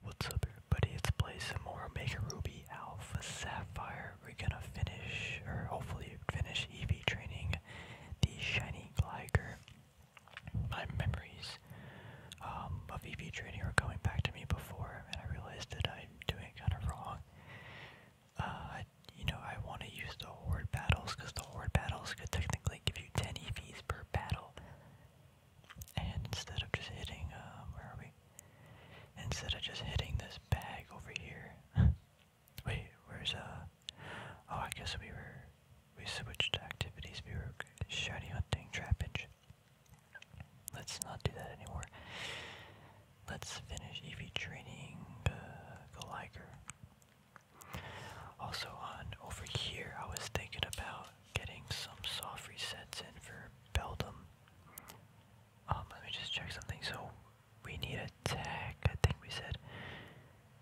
What's up everybody, it's Play Some More Omega Ruby Alpha Sapphire. We're gonna finish, or hopefully finish EV training the Shiny Gligar. My memories um, of EV training are coming back to me before, and I realized that I'm doing kind of wrong. Uh, you know, I want to use the Horde Battles, because the Horde Battles could technically give you 10 EVs per battle. And instead of just hitting, uh, where are we? Instead of just hitting this bag over here. Wait, where's, uh, oh, I guess we were, we switched activities. We were shiny hunting, trappage. Let's not do that anymore. Let's finish EV training, uh, Goliger. Also on over here, I was thinking about getting some soft resets in for Beldum. Um, let me just check something. So we need a tech. I think we said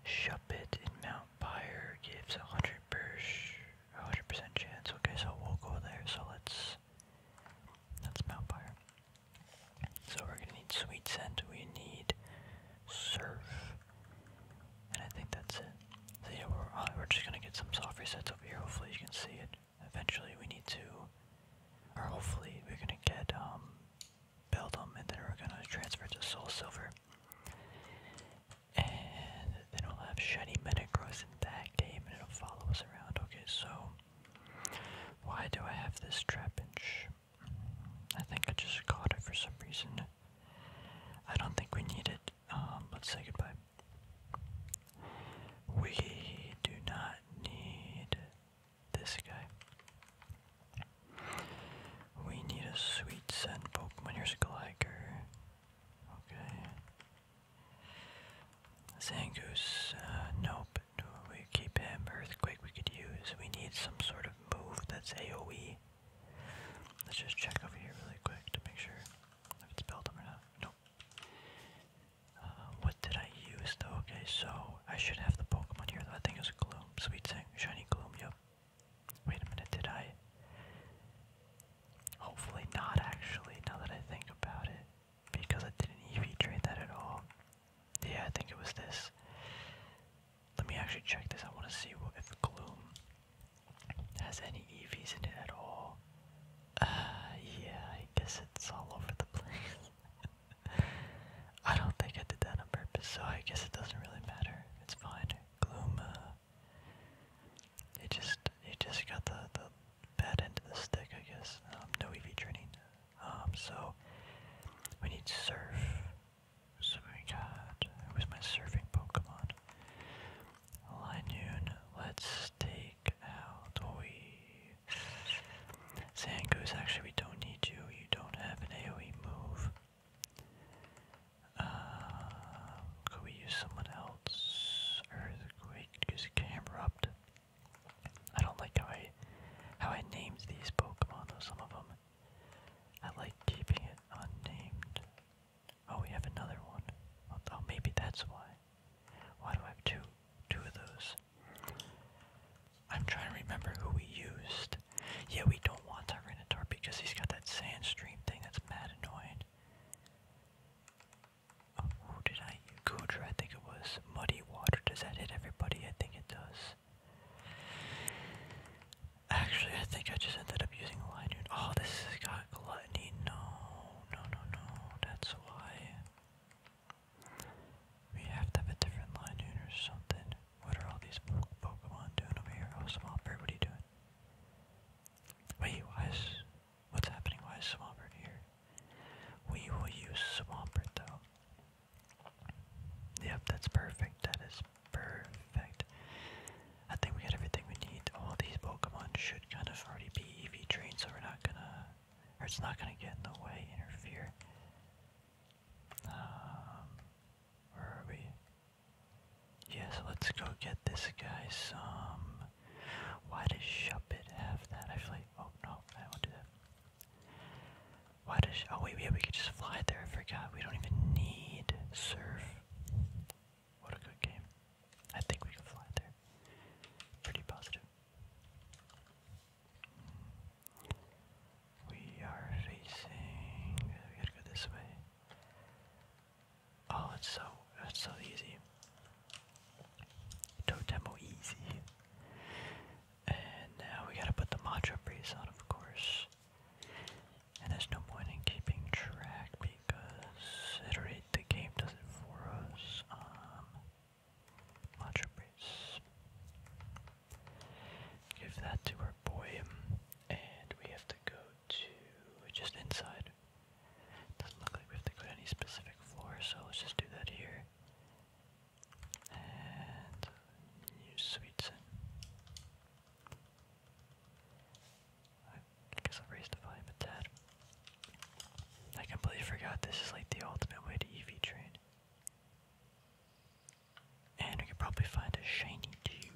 Shuppet in Mount Pyre gives a hundred percent chance. Okay, so we'll go there. So let's that's Mount Pyre. So we're gonna need Sweet Scent. We need Surf, and I think that's it. So yeah, we're, uh, we're just gonna get some soft resets over here, hopefully you can see it. Eventually we need to, or hopefully we're gonna get, um, Beldum, and then we're gonna transfer to Soul Silver. And then we'll have Shiny Metagross in that game, and it'll follow us around. Okay, so, why do I have this Trapinch? I think I just caught it for some reason. I don't think we need it. Um, let's say goodbye. We do not need this guy. We need a sweet scent Pokemon. You're a Gligar. Okay. Zangoose, uh, nope. we keep him. Earthquake we could use. We need some sort of move that's AoE. Let's just check over here really quick to make sure if it's built up or not. No, uh, what did I use though? Okay, so I should have the Pokemon here I think it Gloom. Sweet Thing. Shiny Gloom, yep. Wait a minute, did I? Hopefully not actually, now that I think about it. Because I didn't EV trade that at all. Yeah, I think it was this. Let me actually check this. I want to see what if Gloom has any EVs in it at all? Uh, yeah, I guess it's all over the place. I don't think I did that on purpose, so I guess it doesn't really matter. It's fine. Gloom, uh, it just, it just got the, the bad end of the stick, I guess. Um, no EV training. Um, so, we need Surf. So we got, who's my surfing Pokemon? Linoon, let's let take out we Zangoose, actually we don't need you. You don't have an AoE move. Um, could we use someone else? Earthquake, use Camerupt. I don't like how I how I named these Pokemon though some of them. I like keeping it unnamed. Oh, we have another one. Oh, oh, maybe that's why. Why do I have two, two of those? I'm trying to remember who we used. Yeah, we don't want Tyranitar because he's got that sand stream thing that's mad annoying. Oh, who did I use? Gudra, I think it was. Muddy Water. Does that hit everybody? I think it does. Actually, I think I just ended up using Linoon. Oh, this has got Gluttony. No no, no, no, that's why. We have to have a different line unit or something. What are all these Pokemon doing over here? Oh, Swampert, what are you doing? Wait, why is... What's happening? Why is Swampert here? We will use Swampert, though. Yep, that's perfect. That is perfect. I think we got everything we need. All these Pokemon should kind of already be EV trained, so we're not gonna, or it's not gonna get in the way, interfere. Um, where are we? Yeah, let's go get this guy some. Why does Shuppet have that? Actually, oh no, I won't do that. Why does? Oh wait, yeah, we could just fly there. I forgot. We don't even need Surf. What a good game. I think we can fly there. Pretty positive. We are facing. We gotta go this way. Oh, it's so it's so easy. Totemo easy. And now we gotta put the mantra breeze on, of course. And there's no point in keeping track considerate the game does it for us. Um, Macho Breeze. Give that to our boy, and we have to go to just inside. Doesn't look like we have to go any specific floor, so let's just do that here. And use sweets I guess I'll the volume a tad. I completely forgot this is like the ultimate way to EV train. And we could probably find a shiny too.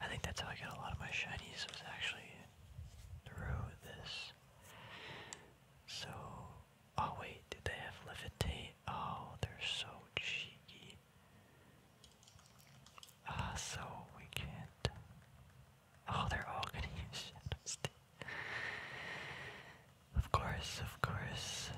I think that's how I got a lot of my shinies was actually through this. So, oh wait, did they have levitate? Oh, they're so cheeky. Ah, so we can't Oh, they're all gonna use Shadow Of course, of course.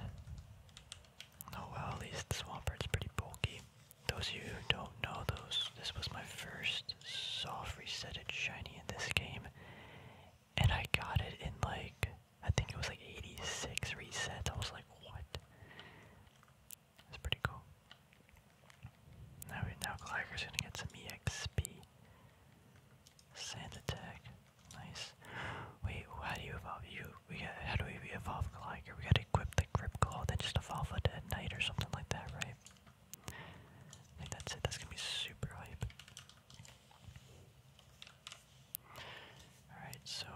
Oh well, at least Swampert's pretty bulky. Those of you who don't know, those this was my first soft resetted shiny in this game, and I got it in like I think it was like 86 resets. I was like, what? That's pretty cool. Now right now Gligar's gonna get some EXP. Sand attack. Nice. Wait, how do you evolve you we got how do we evolve Gligar? We gotta equip the grip claw, then just evolve it at night or something like that, right? I think that's it, that's gonna be super hype. Alright, so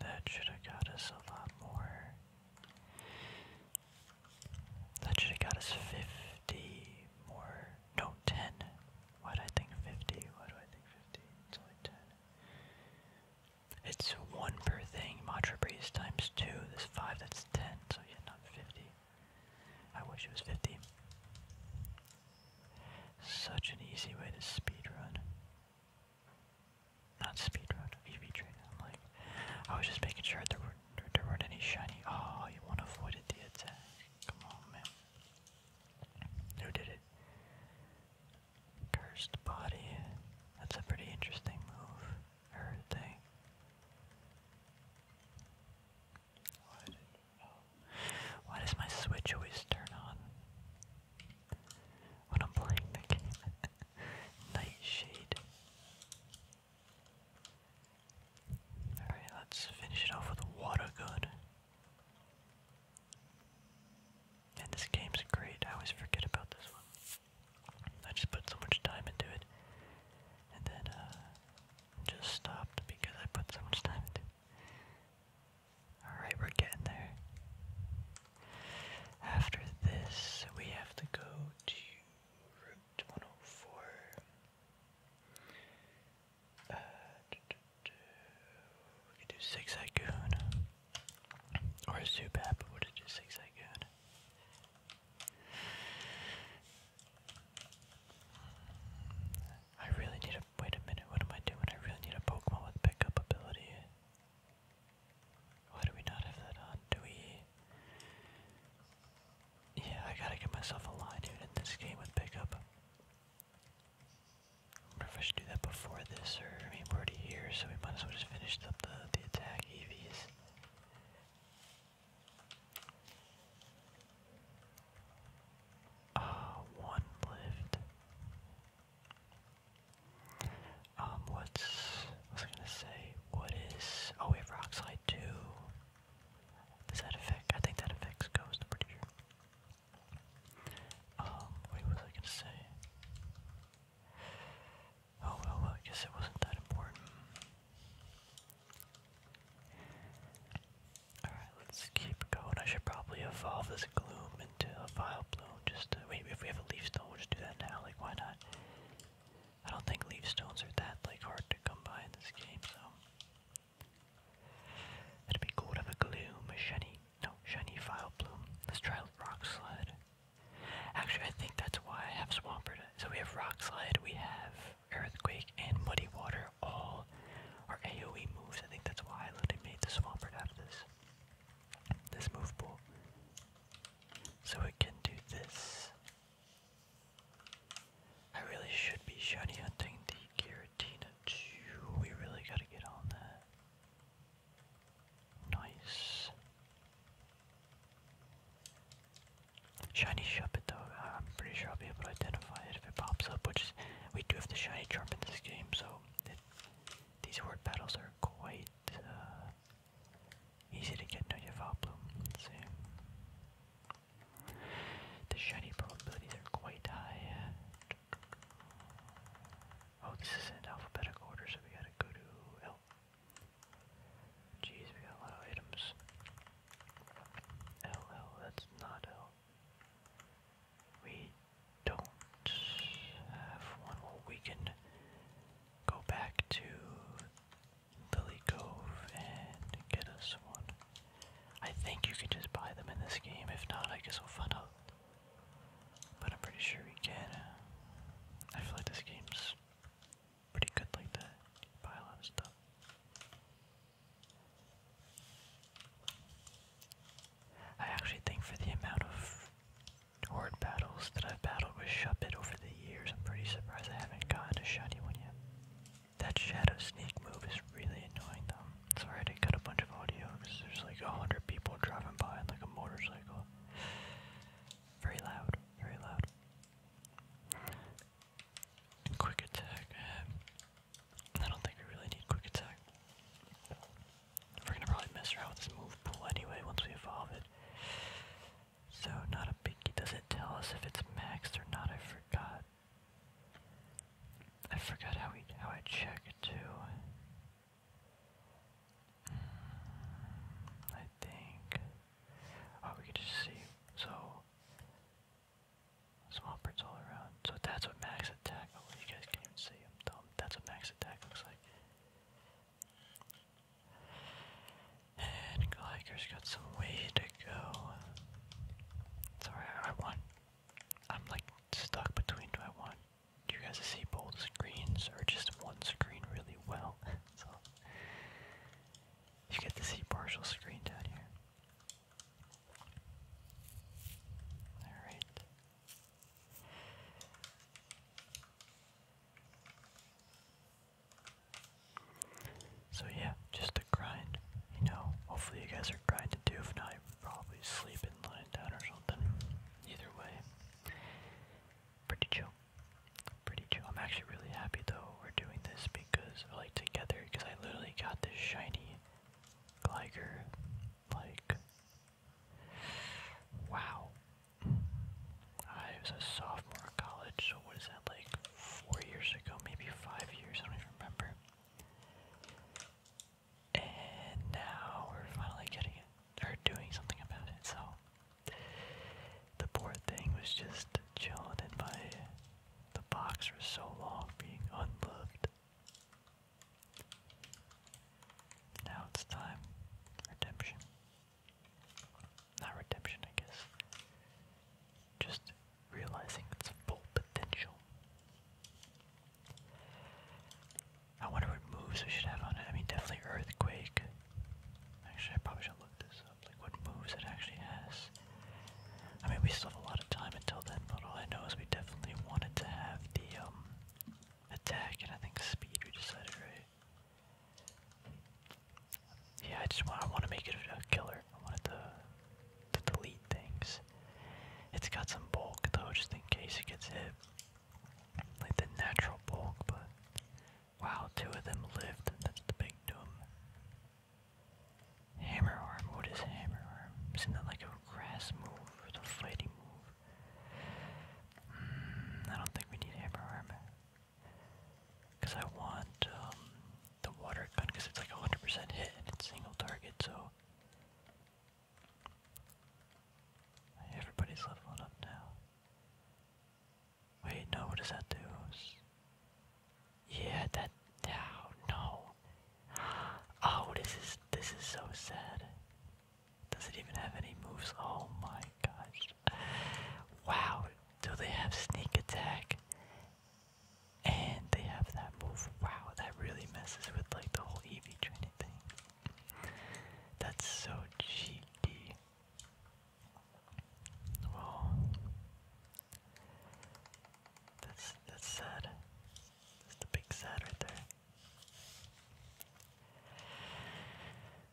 that should have got us a lot more. That should have got us 50 more. No, 10. Why do I think 50? Why do I think 50? It's only 10. It's 1 per thing. Matra Breeze times 2. This 5, that's 10. So yeah, not 50. I wish it was 50. Such an easy way to speed run. Not speedrun, EV train. I'm like, I was just making sure there were there weren't any shiny. Oh, you one avoided the attack. Come on, man. Who did it? Cursed body. That's a pretty interesting move. Or thing. Why, Why does my switch always turn on when I'm playing the game? Nightshade. Alright, let's finish it off with water gun. And this game's great, I always forget about this one. I just put so much time into it. And then, uh, just stopped because I put so much time Alright, we're getting there. After this, we have to go to 104. Uh, We could do Six Icoon. Or a Zubat, but would do Six Icoon? I really need a. Wait a minute, what am I doing? I really need a Pokemon with pickup ability. Why do we not have that on? Do we. Yeah, I gotta get myself a line, dude, in this game with pickup. I wonder if I should do that before this, or I mean, here, so we might as well just finish up the, the attack EVs. Ah, one lived. Um, what's, what was gonna say? What is, oh we have rock too. Does that affect? I think that affects Ghost, I'm pretty sure. Um, wait, what was I gonna say? Oh, well, I guess it wasn't that important. Alright, let's keep going. I should probably evolve this Gloom into a Vile Bloom. Just to, wait, if we have a Leaf Stone, we'll just do that now. Like, why not? I don't think leaf stones are that like hard to come by in this game, so it'd be cool to have a gloom, a no, shiny file bloom. Let's try rock Actually I think that's why I have Swampert. So we have rock slide, we have earthquake and muddy water all our AoE moves. I think that's why I literally made the Swampert out of this. This move pool. So it can do this. I really should be shiny hunting the Giratina too. We really gotta get on that. Nice. Shiny Shuppet though, I'm pretty sure I'll be able to identify it if it pops up, which is, we do have the shiny charm in this game, so these word battles are quite uh, easy to get no Yavabloom. Let's see. The shiny probabilities are quite high. Oh, this is in alphabetical order, so we gotta go L. Jeez, we got a lot of items. L, that's not L. We don't have one. we can go back to Lily Cove and get us one. I think you can just buy them in this game. If not, I guess we'll find out. But I'm pretty sure we can. Uh, I feel like this game's pretty good like that. buy a lot of stuff. I actually think for the amount of horde battles that I've battled with Shuppet over the years, I'm pretty surprised I haven't gotten a shiny one yet. That shadow sneak move is really annoying though. Sorry I did a bunch of audio there's like a hundred people driving by like a motorcycle. Very loud, very loud. quick attack. Eh, I don't think we really need quick attack. We're gonna probably mess around with this move pool anyway once we evolve it. So not a biggie. Does it tell us if it's maxed or not? I forgot. I forgot how we how I check too. Hmm, I think. Oh, we can just see. So small birds all around. So that's what max attack. Oh, you guys can't see. I'm dumb. That's what max attack looks like. And gliker got some way to go. It's I want. I'm like stuck between do I want you guys to see both screens or just one screen really well. so you get to see partial screen down here. Alright. So yeah, just a grind. You know, hopefully you guys are grinding too. If not, you're probably sleeping, lying down, or something. Either way, pretty chill. Pretty chill. I'm actually really happy though we're doing this because we're like together because I literally got this shiny Gligar. Like, wow. I was a sophomore in college, so what is that like? four years ago, maybe five years, I don't even remember. And now we're finally getting it, or doing something about it, so. The poor thing was just chilling in my, the box for so long, being unloved. Now it's time. Redemption not redemption, I guess. Just realizing its full potential. I wonder what moves we should have on it. I mean, definitely Earthquake. Actually, I probably should look this up. Like, what moves it actually has. I mean, we still have a lot of time until then, but all I know is we definitely wanted to have the, um, attack and I think speed we decided, right? Yeah, I just want to make it a killer. I want to, delete things. It's got some bulk though, just in case it gets hit. Like the natural bulk, but wow, two of them lived. That's the big doom. Hammer arm. What is hammer arm? Isn't that like a grass move or the fighting move? Hmm, I don't think we need hammer arm. Because I want um, the water gun because it's like 100% hit single target, so. Everybody's leveling up now. Wait, no, what does that do? Yeah, that. Oh, no. Oh, this is. This is so sad. Does it even have any moves? Oh my gosh. Wow, do they have sneak attack? And they have that move. Wow, that really messes with like the whole EV training thing. That's so cheeky. Well, that's that's sad. That's the big sad right there.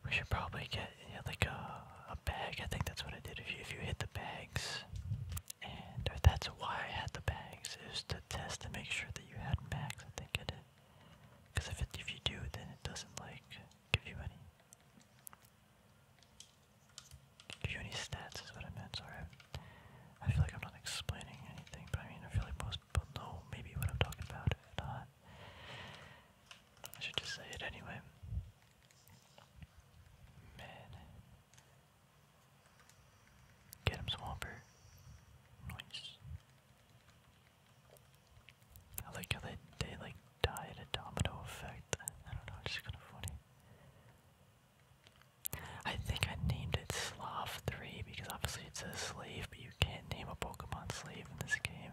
We should probably get like a a bag. I think that's what I did. If you if you hit the bag and that's why I had the bags, is to test and make sure that you had max, I think I did. Because if, it, if you do, then it doesn't, like, give you any... Give you any stats is what I meant, sorry. I, feel like I'm not explaining anything, but I mean, I feel like most people know maybe what I'm talking about, if not. I should just say it anyway. Mid. Get him, Swampert. Nice. I like how they, they like died a domino effect. I don't know, it's just kind of funny. I think I named it Slav 3 because obviously it's a slave, but you can't name a Pokemon slave in this game.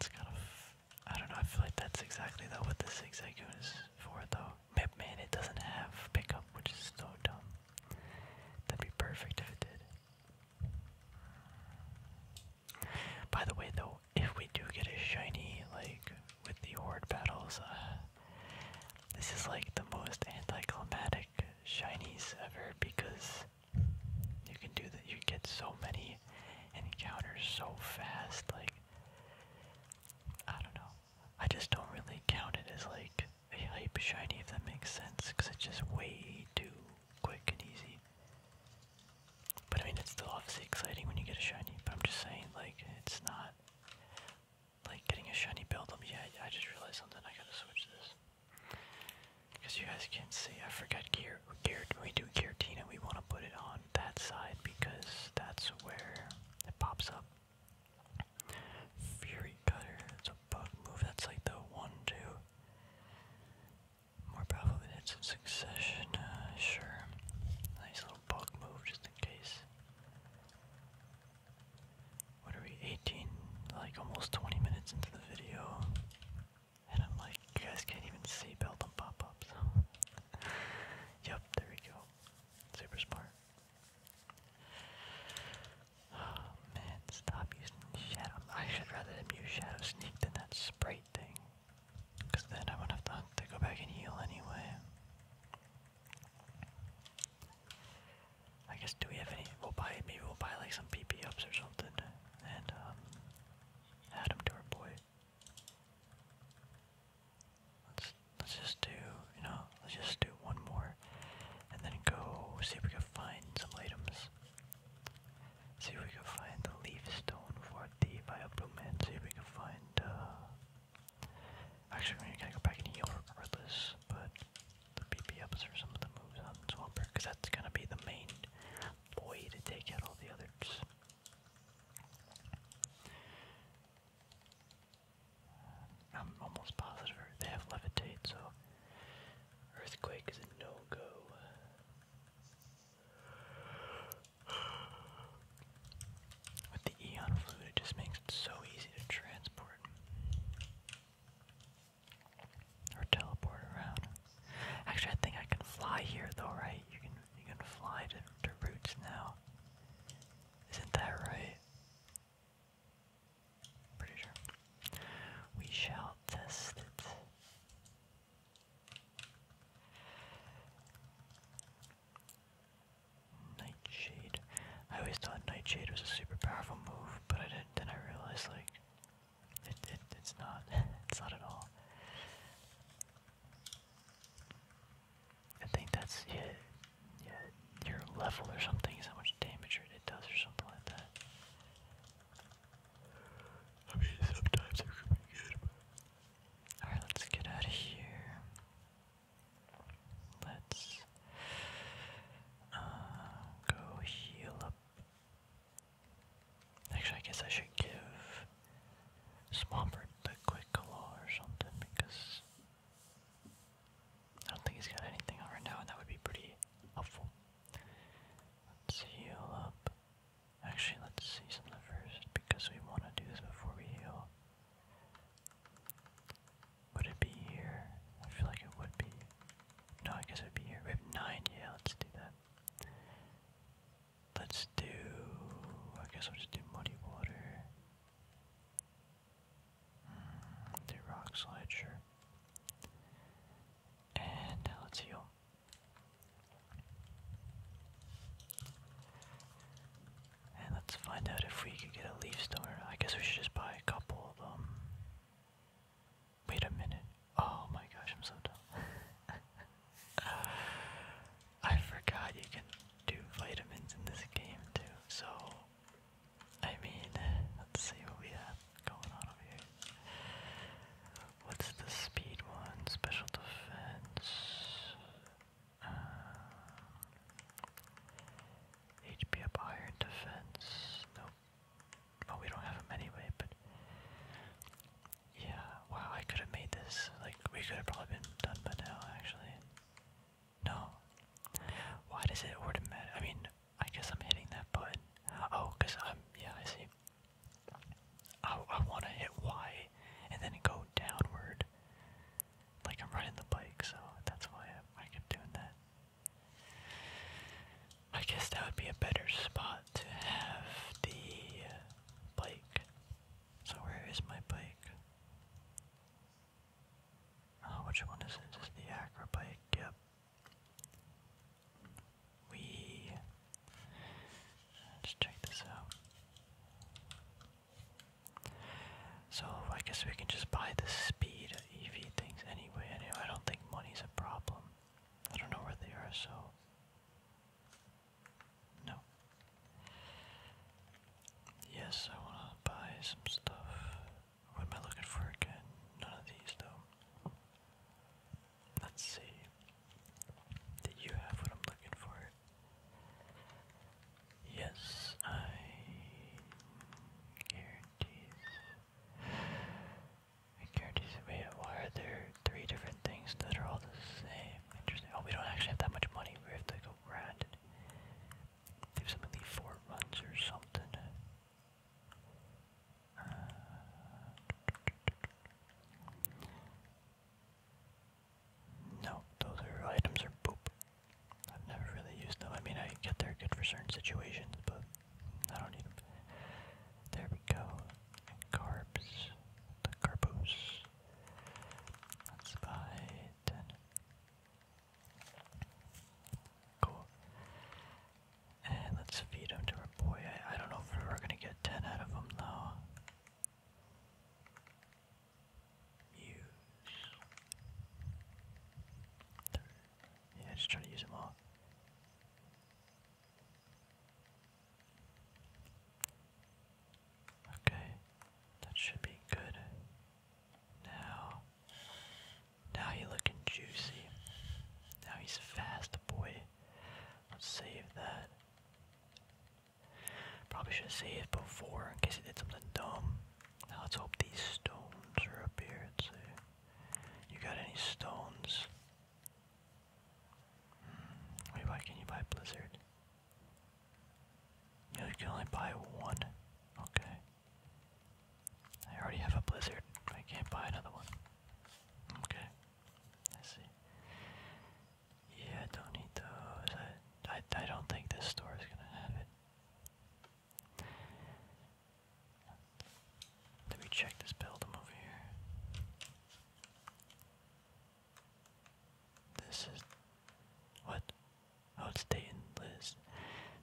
It's kind of I don't know, I feel like that's exactly though what the zigzag is for though. Mipman, it doesn't have pickup, which is so dumb. That'd be perfect if it did. By the way though, if we do get a shiny, like, with the horde battles, uh, this is like the most anticlimactic shinies ever because you can do that. You get so many and he counters so fast, like I don't know. I just don't really count it as like a hype shiny if that makes sense, because it's just way too quick and easy. But I mean, it's still obviously exciting when you get a shiny. But I'm just saying, like, it's not like getting a shiny build up. yet. I just realized something. I gotta switch this because you guys can't see. I forgot gear we do Giratina, we want to put it on that side because that's where it pops up. Fury Cutter, it's a bug move, that's like the 1 2. More powerful than hits in succession, uh, sure. Nice little bug move just in case. What are we, 18? Like almost 20 minutes into the video. And I'm like, you guys can't even see belt on pop-ups. yep, there we go. Super smart. Oh man, stop using shadow. I should rather than use shadow sneak than that sprite thing. Cause then I would have to, go back and heal anyway. I guess do we have any we'll buy maybe we'll buy like some PP ups or something and um, add them to our boy. Let's let's just do you know let's just do one more, and then go see if we can find some items. See if we can find the leaf stone for the via See if we can find. uh... Actually, we're gonna go back and heal regardless, but the PP ups are some of the moves on Swamper, because that's gonna be the main way to take out all the others. I'm almost positive they have levitate, so earthquake is a no-go. With the Eon Flute, it just makes it so easy to transport or teleport around. Actually, I think I can fly here though, right? You can you can fly to, to roots now. Isn't that right? Pretty sure. We shall test it. Nightshade. I always thought Nightshade was a super powerful move, but I didn't. Then I realized like it, it it's not. it's not at all. I think that's yeah, yeah, your level or something is how much damage it does or something like that. I mean, sometimes it could be good. Alright, let's get out of here. Let's uh, go heal up Actually, I guess I should give Swampert the quick claw or something because I don't think he's got anything on right now, and that would be pretty helpful. Let's heal up. Actually, let's see something first because we want to do this before we heal. Would it be here? I feel like it would be. No, I guess it would be here. We have nine. Yeah, let's do that. Let's do. I guess I'll just do muddy water. Hmm, do rock slide, sure. And let's heal. And let's find out if we could get a leaf stoner. I guess we should just buy a couple of them. Um, wait a minute. Oh my gosh, I'm so dumb. I forgot you can do vitamins in this game too, so I mean, let's see what we have going on over here. What's the speed one? Special defense. Uh, HP up iron defense. Nope. Oh, we don't have him anyway, but yeah, wow, I could have made this. Like, we could have probably been done by now, actually. No. Why does it automatic? I mean, I guess I'm hitting that button. Oh, because I'm. Yeah, I see. I, I want to hit Y and then go downward. Like, I'm riding the bike, so that's why I, I kept doing that. I guess that would be a better spot to have the bike so where is my bike? Oh, which one is it? Is the Acro bike? Yep. We let check this out. So I guess we can just buy the speed EV things anyway. Anyway, I don't think money's a problem. I don't know where they are, so no. Yes, I want to buy some stuff. What am I looking for again? None of these, though. Let's see. Did you have what I'm looking for? Yes, I guarantees. I guarantees. Wait, why are there three different things that are all the same. Interesting. Oh, we don't actually have that much money. We have to go around and some of the fort runs or something. Uh, no, those items are poop. I've never really used them. I mean, I get they're good for certain situations, but I don't need them. There we go. Carbs, the carbos. That's by ten. Cool. And let's feed him to our boy. I, don't know if we're gonna get ten out of him though. Use. Yeah, just try to use them all. Okay, that should be good. Now, now he looking juicy. Now he's fast, boy. Let's save that. Probably should have saved before in case he did something dumb. Now let's hope these stones are up here. Let's see. You got any stones? Wait, hmm, why can you buy Blizzard? You can only buy one. Okay. I already have a blizzard. I can't buy another one. Okay. I see. Yeah, I don't need those. I, I, I don't think this store is gonna have it. Let me check this building over here. This is what? Oh, it's Dayton Liz.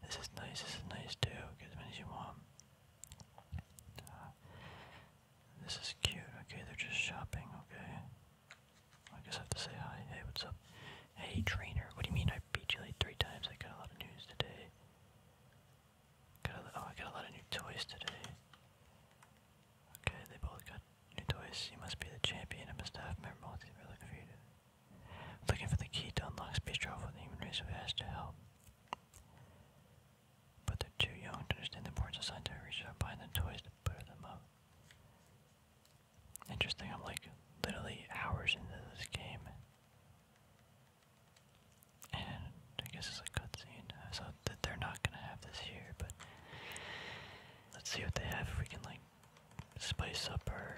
This is nice. This is nice too. Get as many as you want. Uh, this is cute. Okay, they're just shopping. Okay. I guess I have to say hi. Hey, what's up? Hey, trainer. What do you mean I beat you like three times? I got a lot of news today. Got oh, I got a lot of new toys today. Okay, they both got New toys. You must be the champion. I'm a staff we're looking for you. Looking for the key to unlock space travel the human race. We've to help. But they're too young to understand the importance of scientific research. I'm buying the toys to butter them up. Interesting. I'm like literally hours into this game. And I guess it's a cutscene, so that they're not gonna have this here, but Let's see what they have, if we can like spice up our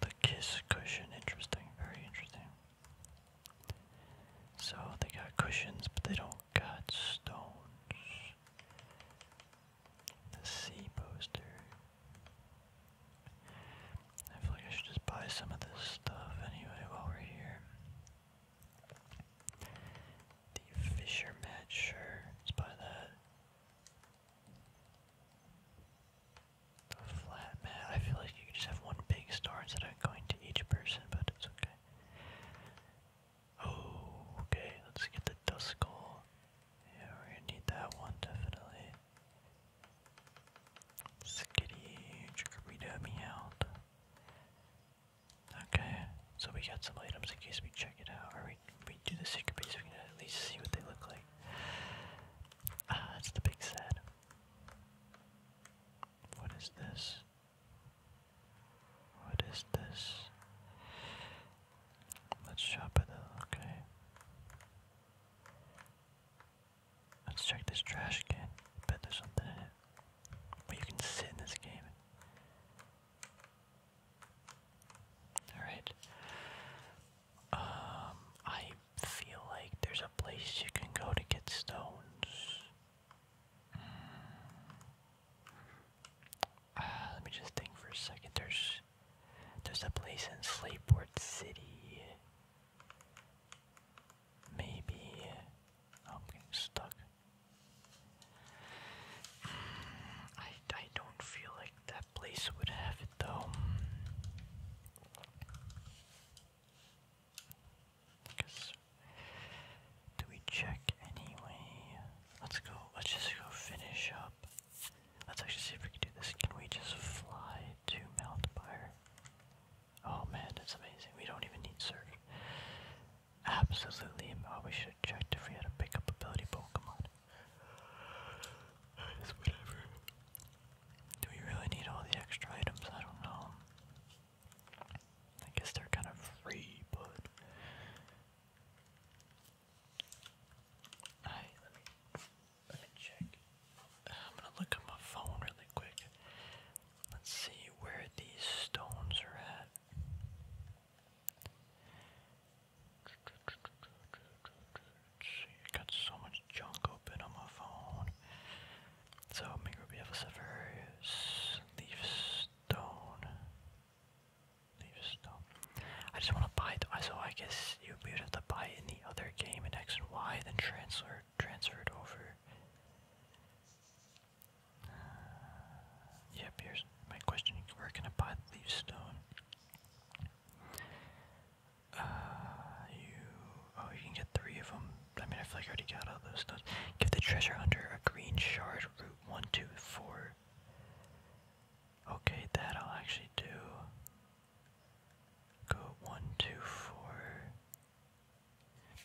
the kiss cushion. Interesting, very interesting. So they got cushions, but they don't got stones. The sea poster. I feel like I should just buy some of this stuff anyway while we're here. The Fisher Mat, sure, let's buy that. The Flat Mat, I feel like you could just have one big star instead of going to each person, but it's okay. okay, let's get the Duskull. Yeah, we're gonna need that one, definitely. Skitty, Chikorita, Meowth. Okay, so we got some items in case we check it out, or we, we do the secret base, we can at least see what they look like. Ah, that's the big sad. What is this? What is this? Let's shop at the, okay. Let's check this trash can. I something in it. But can sit in this game. Alright. Um, I feel like there's a place you can go to get stones. Mm. Uh, let me just think for a second. There's there's a place in Slateport City. Maybe oh, I'm getting stuck. I, I don't feel like that place would have it though. Cause do we check anyway? Let's go. Let's just go finish up. Let's actually see if we can do this. Can we just fly to Mount Oh man, that's amazing. We don't even need search absolutely oh we should check checked if we had a pickup ability Pokemon. whatever. Do we really need all the extra items? I don't know. I guess they're kind of free, but Alright, let me let me check. I'm gonna look at my phone really quick. Let's see where these stones are at. I got so much junk open on my phone. So, maybe we have a Severus, Leaf Stone. Leaf Stone. I just want to buy it, so I guess you would have to buy in the other game and X and Y, then transfer, transferred over. Yep, here's my question. You're can I buy the leaf stone? Uh, you... Oh, you can get three of them. I mean, I feel like I already got all those stones. Give the treasure hunter a green shard, root one, two, four. Okay, that I'll actually do. Go one, two, four.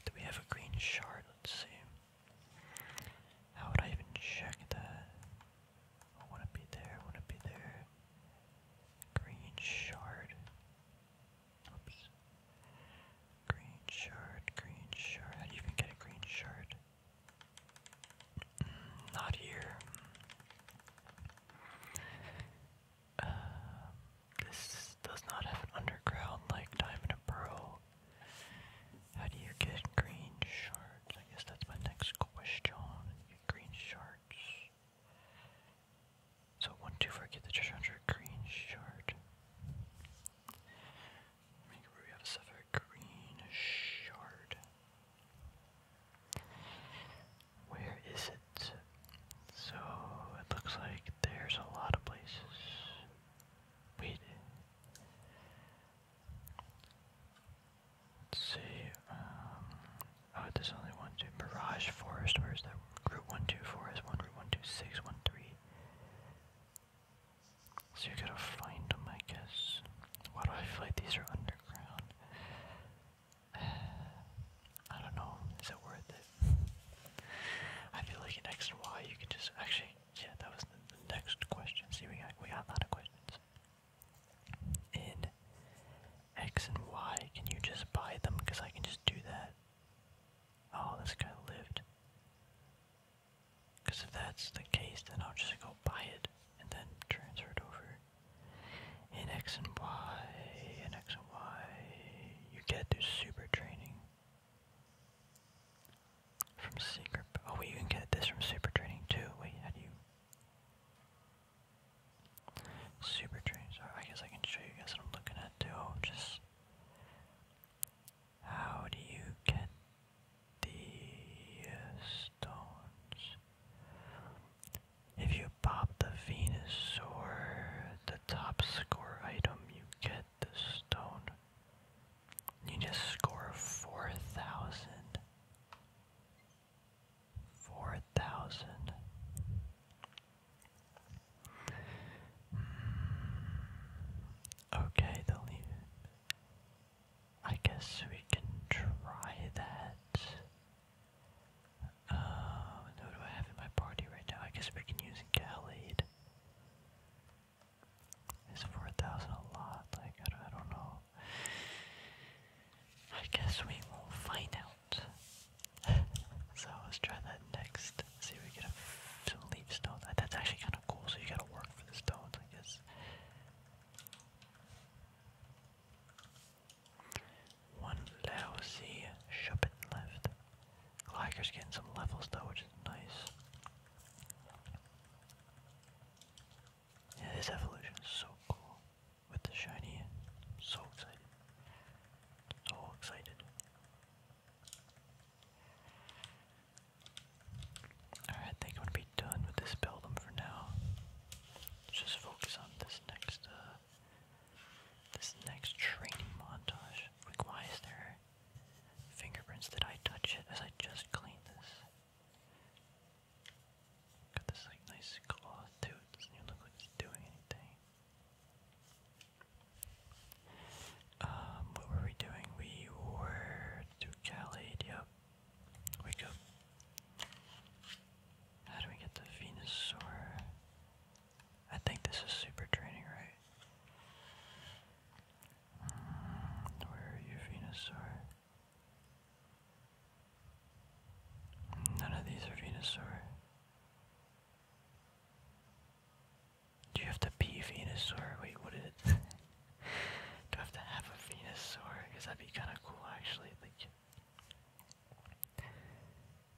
Do we have a green shard? Let's see. How would I even check that? I want to be there, I want to be there. Green shard. Oops. Green shard, green shard. How do you even get a green shard? Mm, not here. Um, this does not have an underground like Diamond and Pearl. How do you get green shards? I guess that's my next question. Green shards. So one, two, four, get the treasure green shard. Make a ruby out of sapphire green shard. Where is it? So it looks like there's a lot of places. Wait. Let's see. Um, oh, there's only one, two. Mirage Forest. Where's that? Route 124 is 1, Route 126, So you gotta find them, I guess. Why do I feel these are underground? I don't know. Is it worth it? I feel like in X and Y you can just actually yeah, that was the, next question. See, we got, we got a lot of questions. In X and Y, can you just buy them? Because I can just do that. Oh, this guy lived. Because if that's the case, then I'll just go buy it and then transfer it over. In X and Y, in X and Y, you get through super training. From secret. Oh wait, you can get this from super Training too. Wait, how do Super trading. Sorry, I guess I can show you guys what I'm looking at too. Just how do you get the uh, stones? If you pop the Venus or the top score item, you get the stone. You just score 4,000. Okay, they it. I guess we can try that. Um, who do I have in my party right now? I guess we can use Gallade. Is 4,000 a lot? Like, I don't, know. I guess we will find out. so let's try that next. See if we get some leaf stones. That's actually kind of cool, so you gotta work for the stones, I guess. One lousy shuppet left. Gliker's getting some levels though, which is nice. Yeah, this evolution is so cool. With the shiny, so excited. So excited. Alright, think I'm be done with this buildum for now. Let's just focus on this next uh, this next training montage. why is there fingerprints? Did I touch it as I just cleaned this? Got this like nice cloth too. It doesn't even look like it's doing anything. Um, what were we doing? We were to Cali, yep. Wake up. How do we get to Venusaur? I think this is super training, right? Mm, where are you, Venusaur? None of these are Venusaur. Do you have to be Venusaur? Wait, what is it? Do I have to have a Venusaur? Because that'd be kind of cool, actually. Like,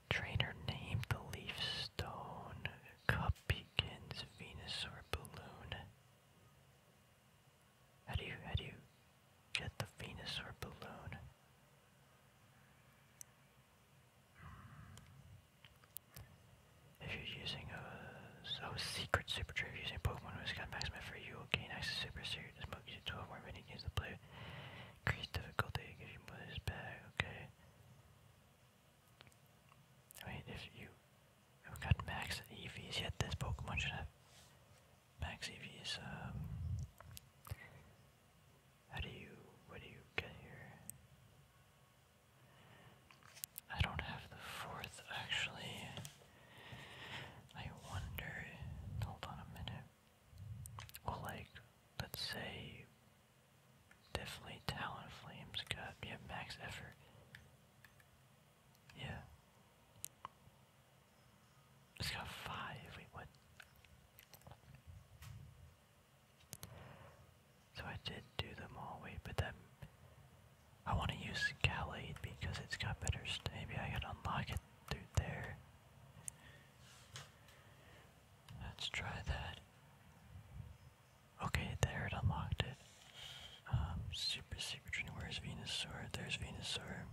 trainer named the Leaf Stone. Cup begins Venusaur balloon. How do you how do you get the Venusaur balloon? Hmm. If you're using a so secret super tree, using Pokemon who's got maximum for you, okay, nice super series you to twelve more mini games to play. Increase difficulty, give you more this back, okay. I mean if you we got max EVs, yet this Pokemon should have max EVs. Um, how do you, what do you get here? I don't have the fourth actually. I wonder, hold on a minute. Well, like, let's say, definitely Talent Flames got, yeah, max effort. Yeah. Let's go five we would. So I did do them all but then I want to use Gallade because it's got better. Maybe I can unlock it through there. Let's try that. Okay, there it unlocked it. Um, super, super training. Where's Venusaur? There's Venusaur.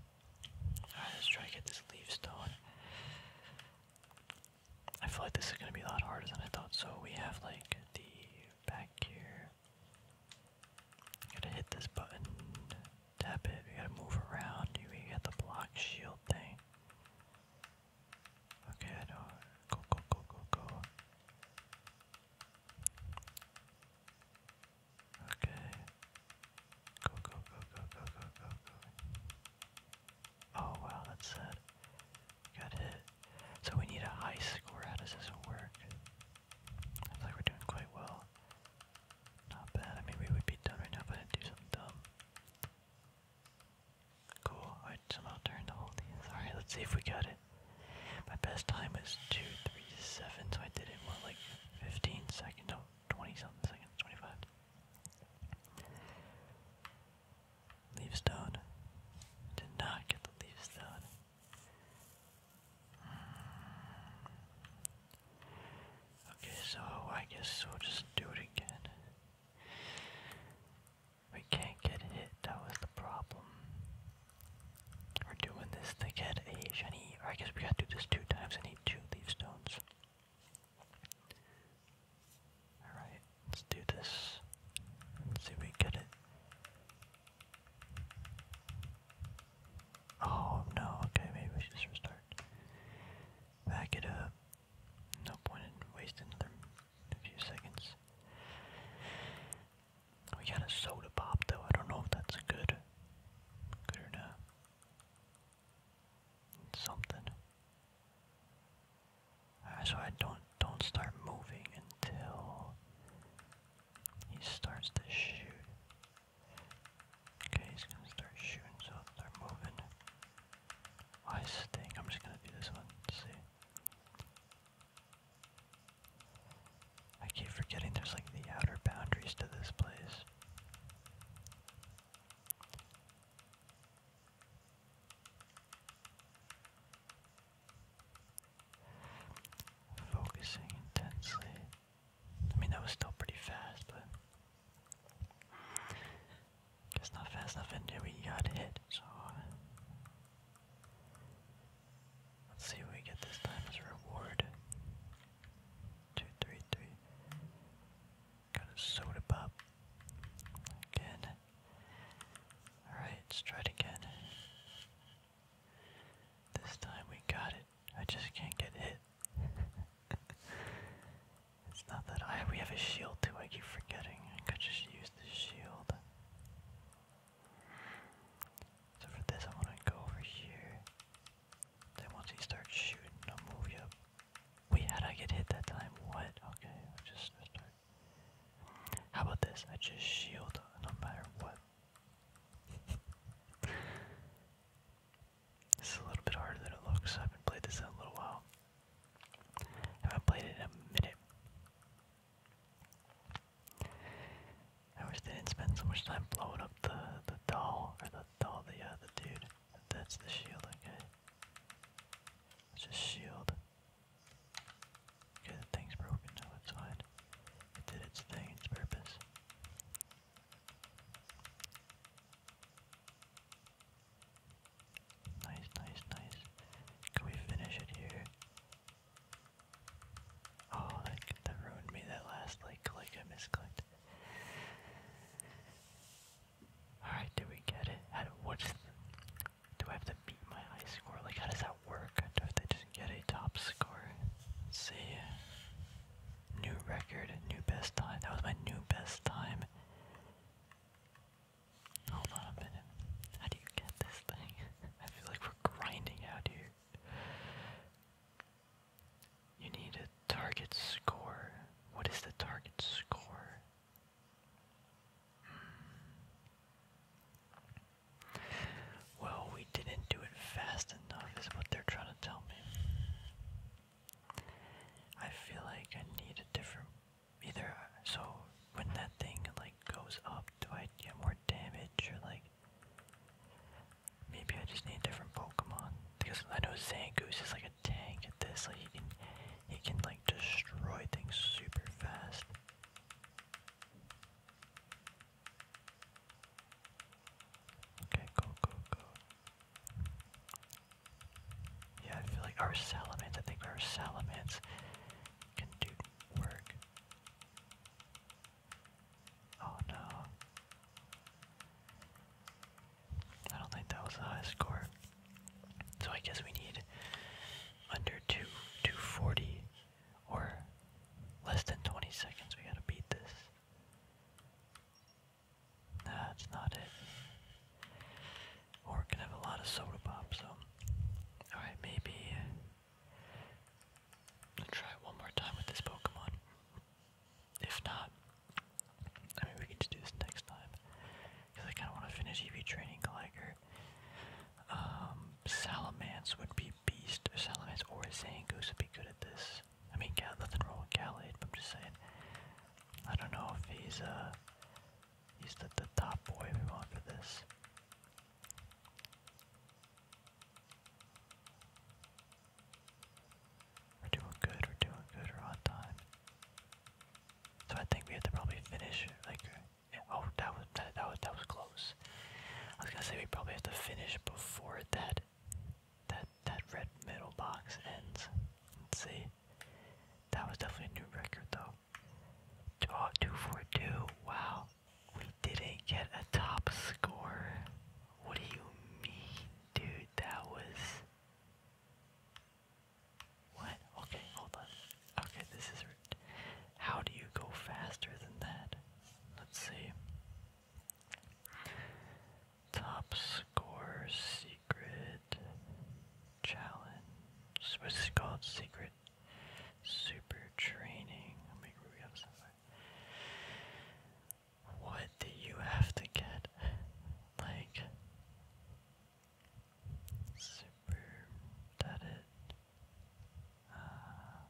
Alright, let's try to get this leaf stone. I feel like this is gonna be a lot harder than I thought. So we have like the back here. Gotta hit this button, tap it. We gotta move around. We got the block shield thing. Okay, Go, go, go, go, go. Okay. Go, go, go, go, go, go, go, go. Oh, wow, that's sad. Got hit. So we need a high score. How does this work? I feel like we're doing quite well. Not bad. I mean, we would be done right now, but I do something dumb. Cool. I somehow turned the whole thing. Alright, let's see if we got it. My best time was 237, so I did it, what, like 15 seconds? No, 20 something seconds, 25. Leaf stone. Did not get the leaf stone. Okay, so I guess we'll just do it again. We can't get hit, that was the problem. We're doing this to get a shiny. I guess we gotta do this two times. I need two leaf stones. Alright, let's do this. see if we get it. Oh no, okay, maybe we should restart. Back it up. No point in wasting another few seconds. We got a soda pop though. I don't know if that's good. Good or not. something. Ah, so I don't don't start moving until he starts to shoot. Okay, he's gonna start shooting, so start moving. I stink. I'm just gonna do this one. see. I keep forgetting there's like the outer boundaries to this place. Focusing intensely. I mean, that was still pretty fast, but. Guess not fast enough in we got hit, so. Let's see what we get this time as a reward. Two, three, three. Got a soda pop. Again. Alright, let's try it again. This time we got it. I just can't get hit. it's not that I we have a shield too, I keep forgetting. I could just use the shield. So for this I wanna go over here. Then once he starts shooting, i move up. Wait, how did get hit that time? What? Okay, i just start. How about this? I just shield no matter what. this is a little bit harder than it looks. I haven't played this in a little while. haven't played it in a minute. I wish they didn't spend so much time blowing up the the doll or the doll the uh, the dude. That's the shield. Okay, it's a shield. Okay, the thing's broken, so it's fine. It did its thing, its purpose. Nice, nice, nice. Can we finish it here? Oh, that, ruined me, that last like click I misclicked. Alright, did we get it? How do, what's do I have to beat my high score? Like, how does that work? Do I have to get a top score? see. New record, new best time. That was my new best time. Hold on a minute. How do you get this thing? I feel like we're grinding out here. You need a target score. What is the target score? Hmm. Well, we didn't do it fast enough, is what they're trying to tell me. I feel like I need a different. Either so when that thing like goes up, do I get more damage or like Maybe I just need different Pokemon. Because I know Zangoose is like a tank at this. Like he can he can like destroy things super fast. Okay, go, go, go. Yeah, I feel like our Salamence, I think our Salamence can do work. Oh no. I don't think that was the high score. So I guess we need under two two forty or less than twenty seconds. We gotta beat this. that's not it. Or we can have a lot of soda pop, so alright, maybe uh, I'll try one more time with this Pokemon. If not, I mean, we can just do this next time. Because I kind of want to finish EV training Gligar. Um, would be Beast, or Salamance or Zangoose would be good at this. I mean, Gal nothing wrong with Gallade, but I'm just saying. I don't know if he's, uh, he's the, the top boy we want for this. We're doing good, we're doing good, we're on time. So I think we have to probably finish like uh, oh that was that, that that was close. I was gonna say we probably have to finish before that that that red middle box ends. Let's see. That was definitely a new record though. Oh, 242, wow. We didn't get a top score. What do you mean, dude? That was. What? Okay, hold on. Okay, this is. How do you go faster than that? Let's see. Top score secret challenge. What's it called? Secret super training. Make sure we have somewhere. What do you have to get? Like, super, that uh,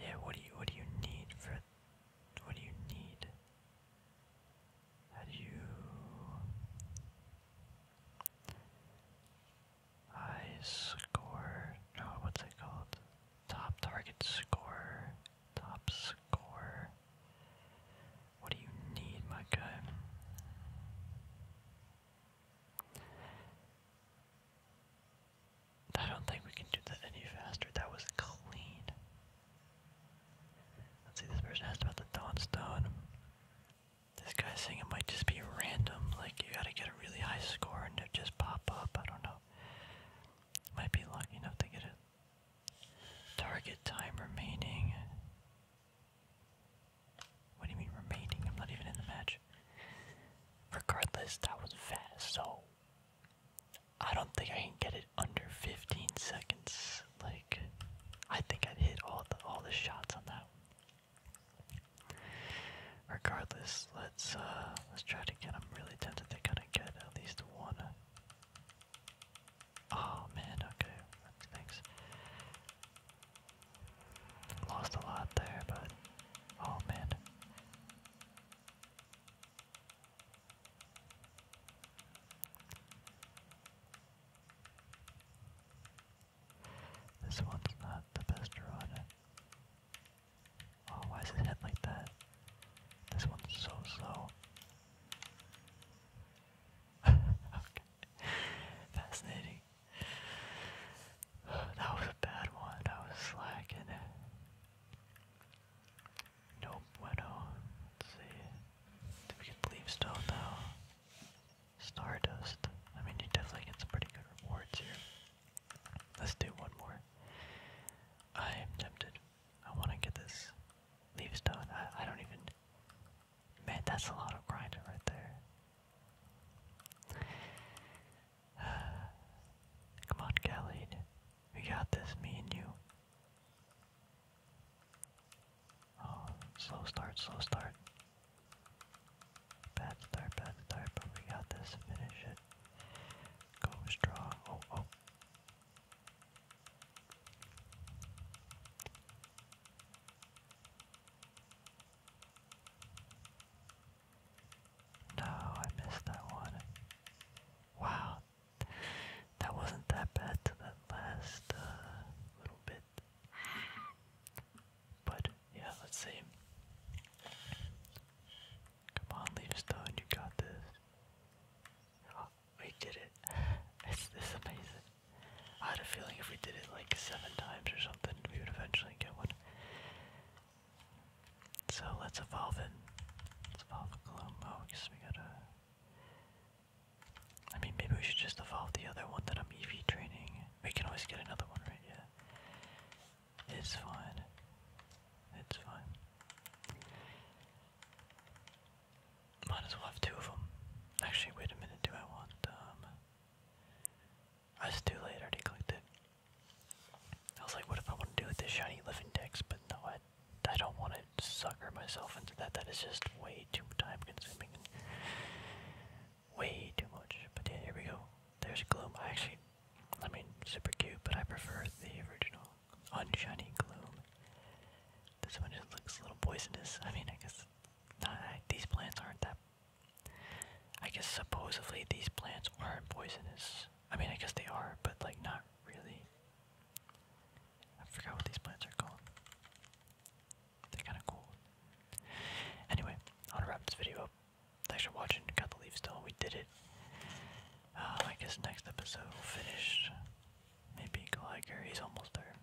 yeah, what do you, what do you need for, what do you need? How do you, I score. No, what's it called? Top target score. Top score. What do you need, my guy? I don't think we can do that any faster. That was clean. Let's see, this person asked about the Dawnstone. This guy saying it might just be random, like you gotta get really high score and it just pop up. I don't know. Might be lucky enough to get it. Target time remaining. What do you mean remaining? I'm not even in the match. Regardless, that was fast, so I don't think I can get it under 15 seconds. Like, I think I'd hit all all the shots on that. Regardless, let's uh let's try it again. I'm really tempted to kind of get at least one. Oh man, okay, thanks. Lost a lot there, but oh man. This one's not the best run. Oh, why is it hit like that? This one's so slow. okay. Fascinating. That was a bad one. I was slacking. No bueno. Let's see. Did we get leaf stone though? Stardust. I mean, you definitely get some pretty good rewards here. Let's do one more. I am tempted. I want to get this leaves done. I, I don't even. Man, that's a lot of grinding right there. Come on, Khalid. We got this, me and you. Oh, slow start, slow start. Bad start, bad start, but we got this. Finish it. Go strong. Oh, oh. No, I missed that one. Wow. That wasn't that bad to that last uh, little bit. But yeah, let's see. Come on, Leaderstone, you got this. we did it. It's this amazing. I had a feeling if we did it like seven times or something, we would eventually get one. So let's evolve it. evolve a Glomo we gotta. I mean, maybe we should just evolve the other one that I'm EV training. We can always get another one, right? Yeah. It's fine. It's fine. Might as well have two of them. Actually, wait a minute. Do I want, um... That's too late. I already clicked it. I was like, what if I want to do with this shiny living text? But no, I, I don't want to sucker myself into that. That is just way too time consuming. way too much. But yeah, here we go. There's Gloom. actually I mean, super cute, but I prefer the original Unshiny Gloom. This one just looks a little poisonous. I mean, I guess not, these plants aren't that. I guess supposedly these plants aren't poisonous. I mean, I guess they are, but like not really. I forgot what these plants are called. They're kind of cool. Anyway, I'll wrap this video up. Thanks for watching. Got the leaves still. We did it. Um, I guess next episode we Maybe Gligar. He's almost there.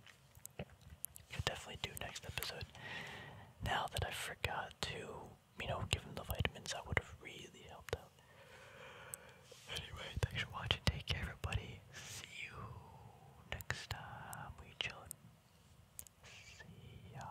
Could definitely do next episode. Now that I forgot to, you know, give him the vitamins, that would have really helped out. Anyway, thanks for watching. Take care, everybody. See you next time. We chillin'. See ya.